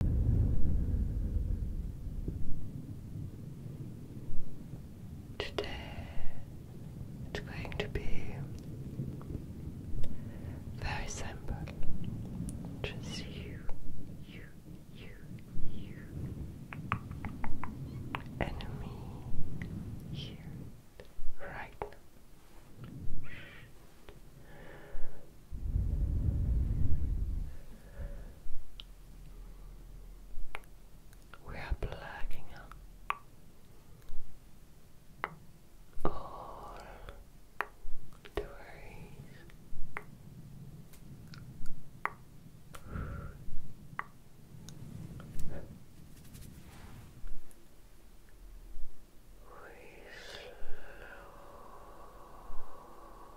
Today it's going to be very simple. Just you, you, you, you, and me here right now. We are blacking out all the We slowly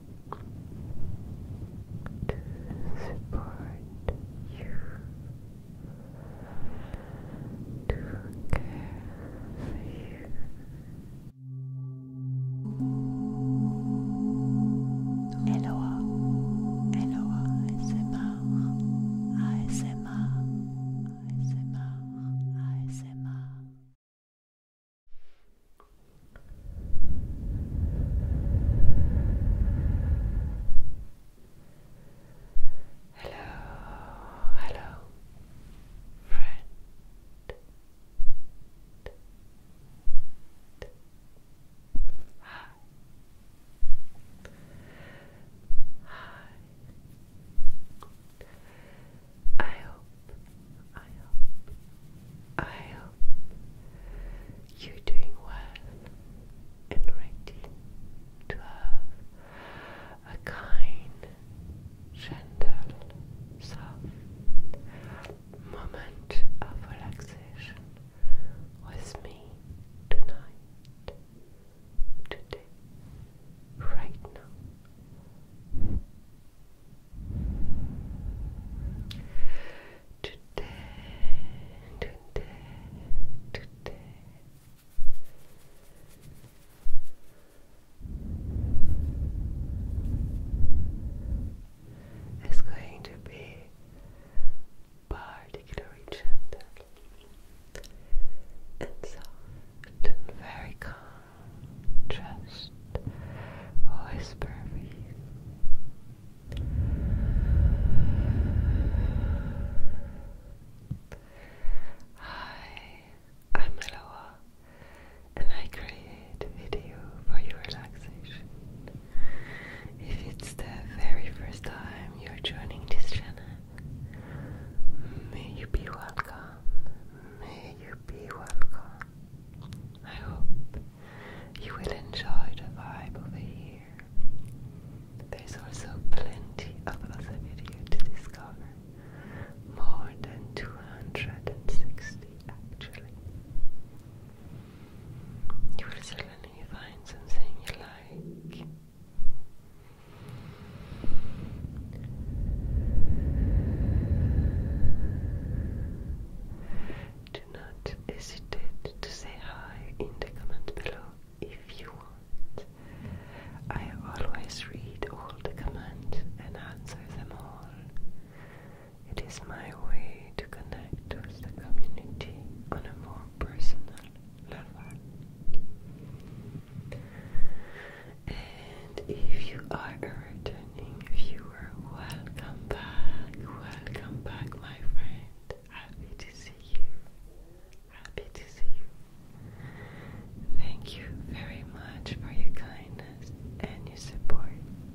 to support you, to care for you. ASMR, ASMR, ASMR, Hello, hello, friend. Hi. Hi. I hope, I hope, I hope you're doing well and ready to have a kind, gentle, soft moment of relaxation with me tonight, today, right now. Today, today, today. It's going to be particularly gentle and soft very calm. Just whisper me. Hi, I'm Eloa, and I create video for your relaxation. If it's the very first time you're joining this channel, may you be welcome, may you be welcome. I hope you will enjoy the vibe over here. There's also plenty of other video to discover. More than 260 actually. You will certainly find something you like. Do not hesitate to say hi in the comment below if you want. I always read all the comments and answer them all. It is my way to connect with the community on a more personal level. And if you are a returning viewer, welcome back, welcome back, my friend. Happy to see you. Happy to see you. Thank you very much for your kindness and your support.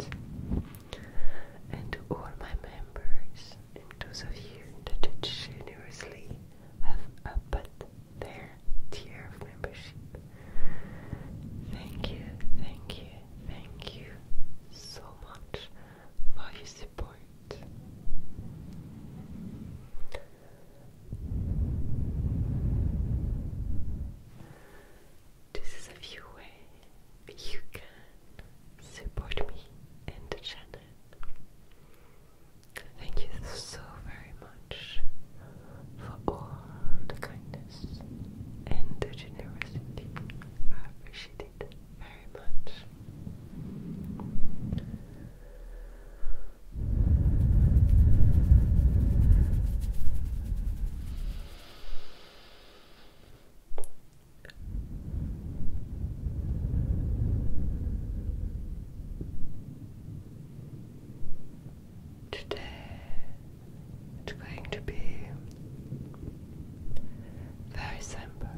And to all my members, and those of you that generously have upped their tier of membership. Thank you, thank you, thank you so much for your support. This is a few ways you can support me and the channel. Thank you so very much for all the kindness and the generosity. I appreciate it very much. Today it's going to be very simple.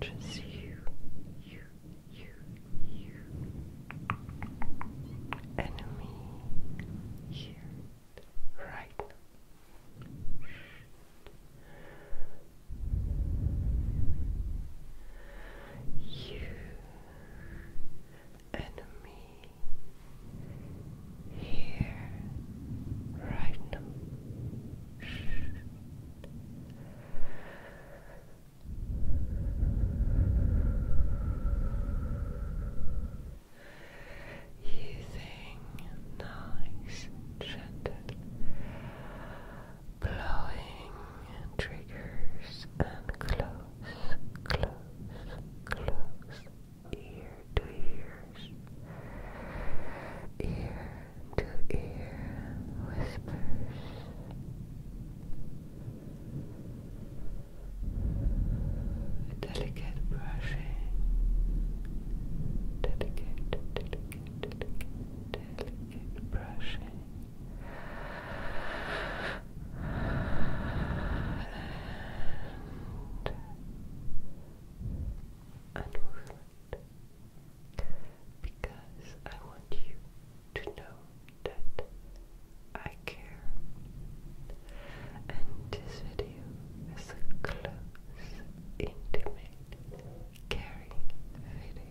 Just you, you, you, you, and me here, right now. You and me here right now. Using nice, gentle, blowing triggers and close close, close, ear to ears, ear to ear whispers. Delicate brushing, delicate, delicate, delicate, delicate brushing and because I want you to know that I care and this video is a close, intimate, caring video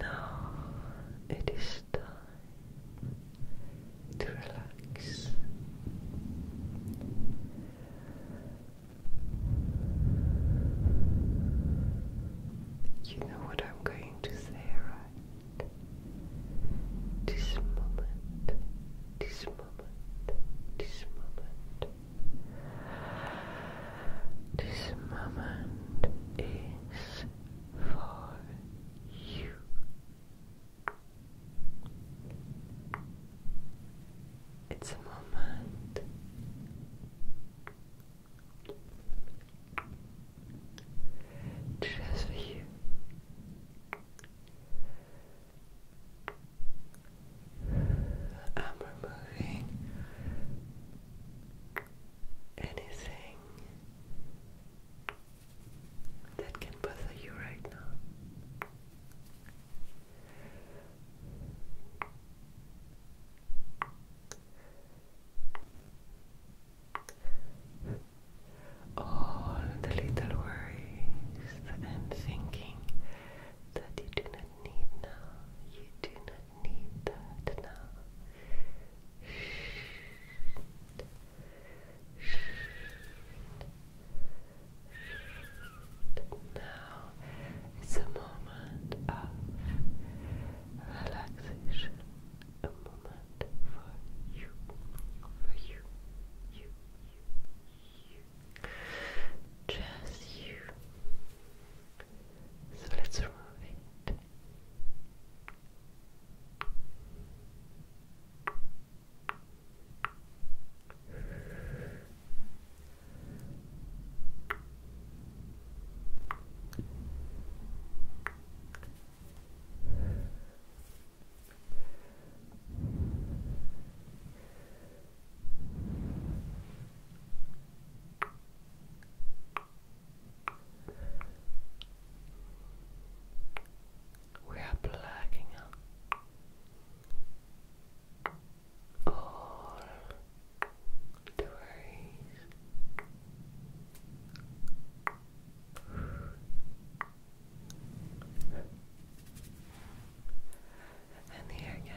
Now it is time to relax. You know what I'm going to say, right? This moment, this moment, this moment this moment is for you. It's a moment just for you. I'm removing anything that can bother you right now. All the little worries and thinking that you do not need now, you do not need that now. Now it's a moment of relaxation, a moment for you, for you, you, you, you, just you. So let's remove it. We are blacking out all the And here again,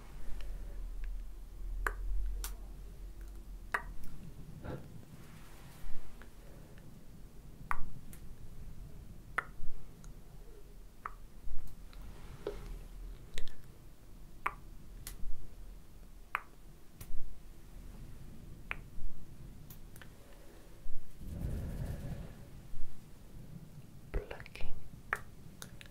Plucking,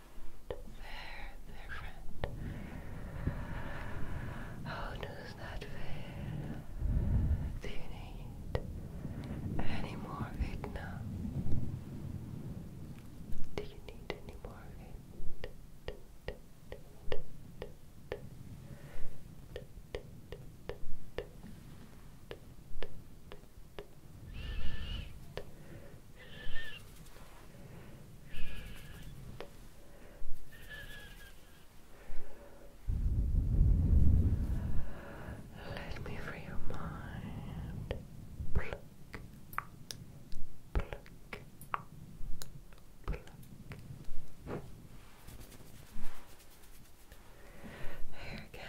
Very different. How does that feel? Do you need any more of Do you need any more of let me free your mind. Here again.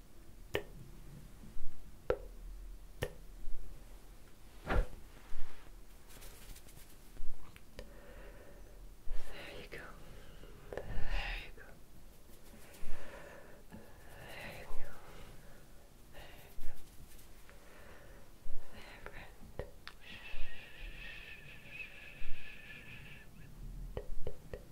There you go. There you go. There you go. There you go. There, friend.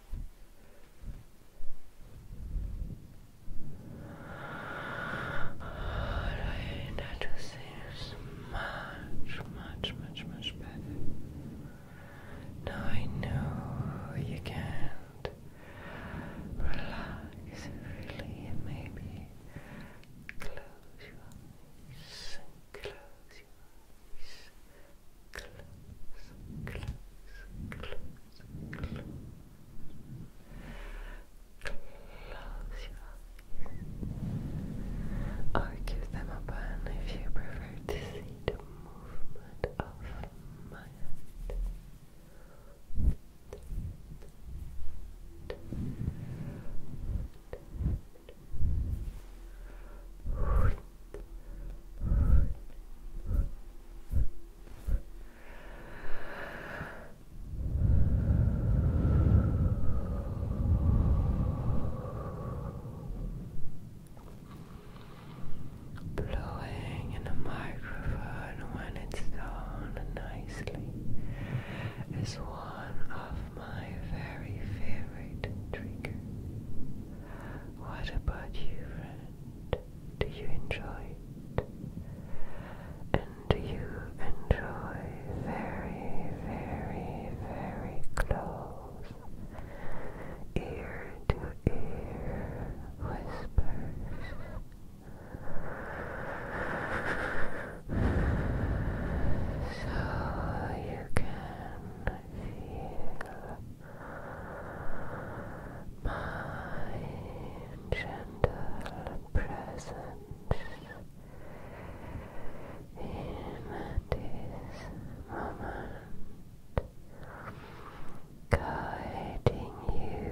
That seems much, much, much, much better. Now I know you can relax, really, maybe close your eyes, close your eyes close, close, close, close. Close your eyes. Or keep them open if you prefer to see the movement of my head. Blowing in the microphone when it's done nicely is one of my very favorite triggers. What about you, friend? Do you enjoy it? And do you enjoy very, very, very close ear to ear whispers? So you can feel my gentle presence in this moment, guiding you,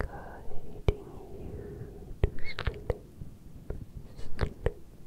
guiding you to sleep,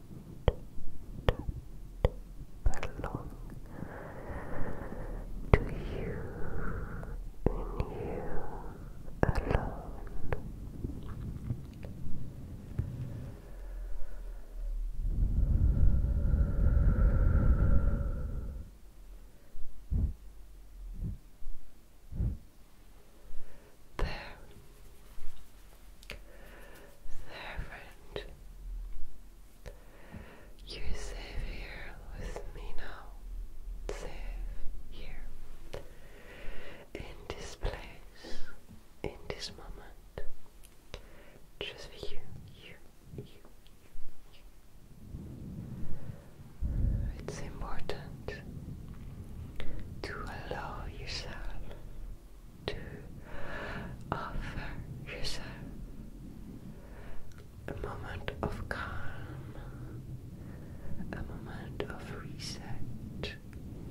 belong to you and you alone. There. There, friend. You're safe here with me now. Safe here. In this place. In this moment. Just for you. You. You. You. It's important to allow yourself to offer yourself a moment of calm, a moment of reset,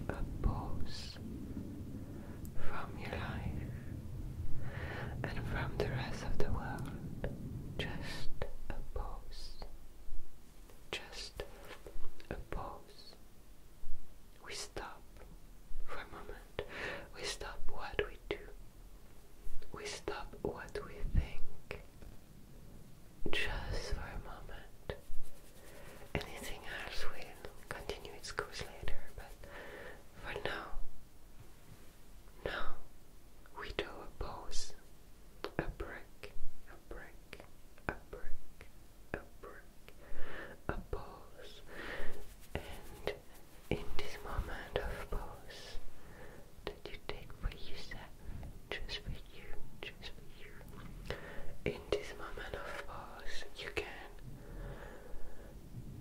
a pause from your life and from the rest of the world. Just a pause. Just a pause. We stop for a moment. We stop what we do. We stop what we think. Just for a moment. Anything else will continue its course later, but for now, now we do a pause, a break, a break, a break, a break, a pause, and in this moment of pause that you take just for you, just for you, in this moment of pause you can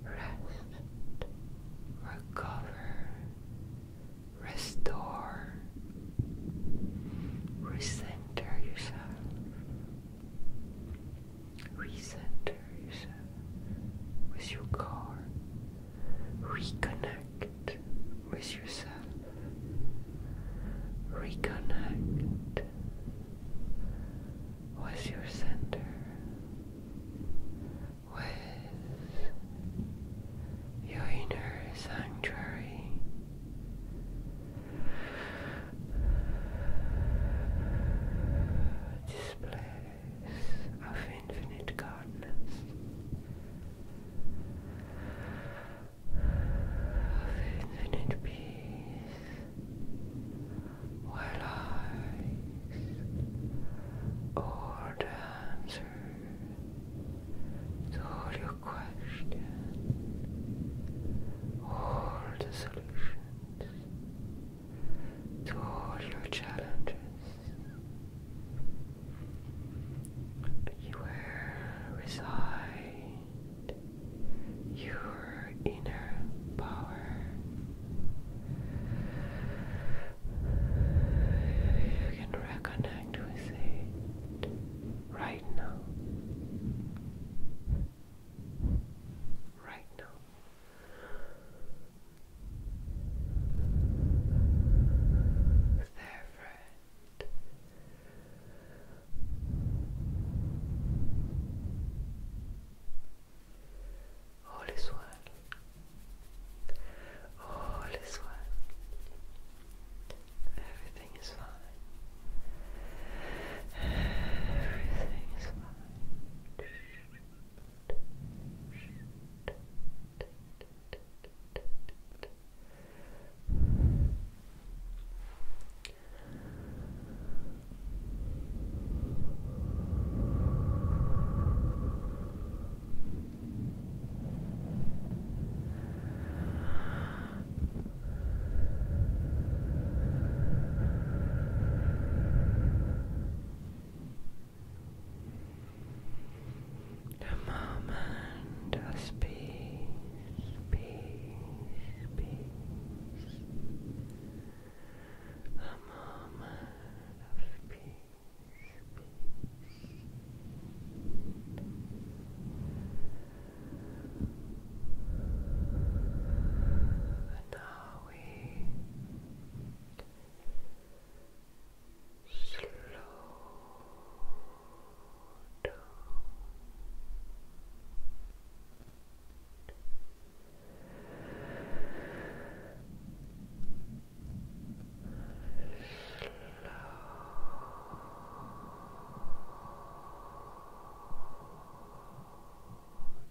rest, recover, restore, recenter yourself. Recenters with your car. Reconnect with yourself. Reconnect with your center. With your inner sanctuary. This place of infinite godness, of infinite peace, where lies all answers to all your questions all the solutions to all your challenges. You reside your inner power. You can reconnect with it right now right now. There, friend. All is well. All is well. Everything Everything is fine. Everything is fine. The moment was peace, peace, peace. The moment of peace, peace. And now we slow Slow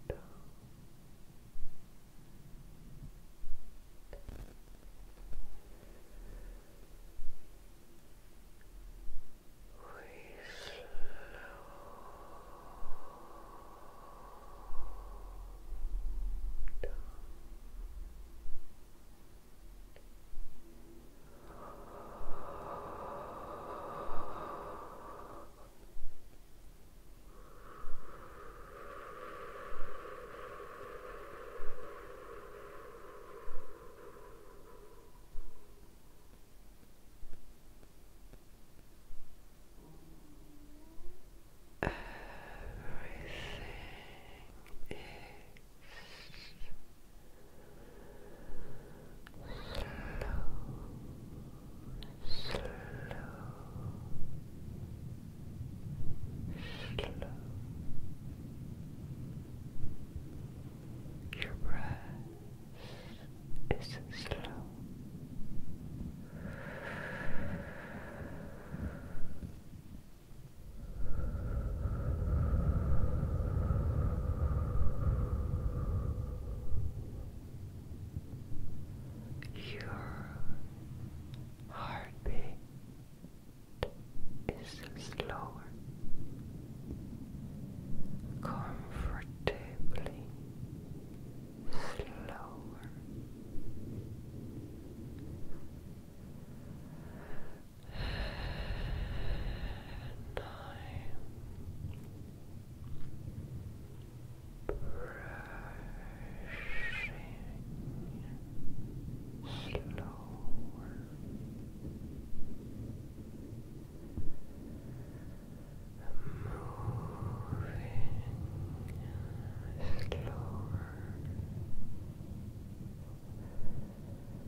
down. We slow down. Everything is slow, slow. Your breath is Slow, your heartbeat is slower, comfortably slower brushing slower moving slower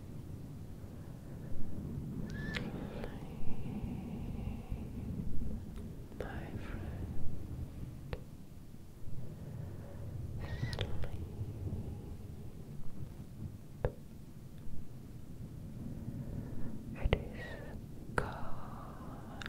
my friend. Sleep. It is calm and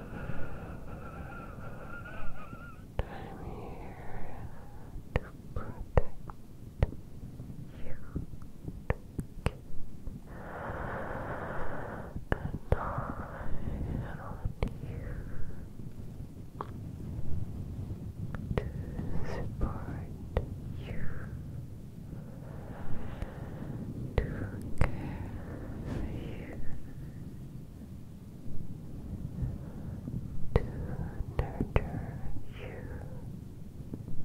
I'm here to protect you and I want you to support you to care for you, to nurture you. So you feel fulfilled,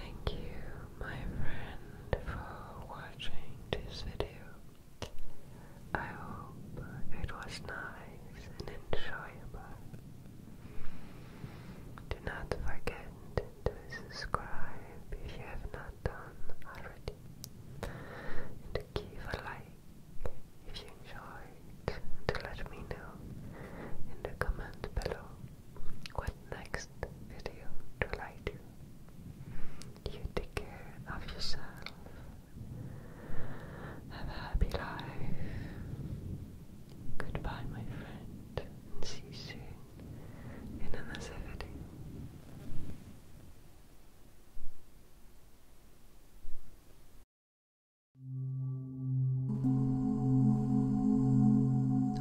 Thank you, my friend, for watching this video. I hope it was nice and enjoyable. Do not forget to subscribe if you have not done already, and to give a like if you enjoyed, to let me know in the comment below what next video will I do. You take care of yourself. Have a happy life. Goodbye, my friend, and see you soon in another video.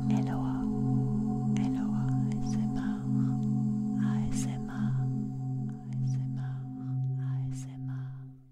Hello, hello, ASMR, ASMR, ASMR, ASMR.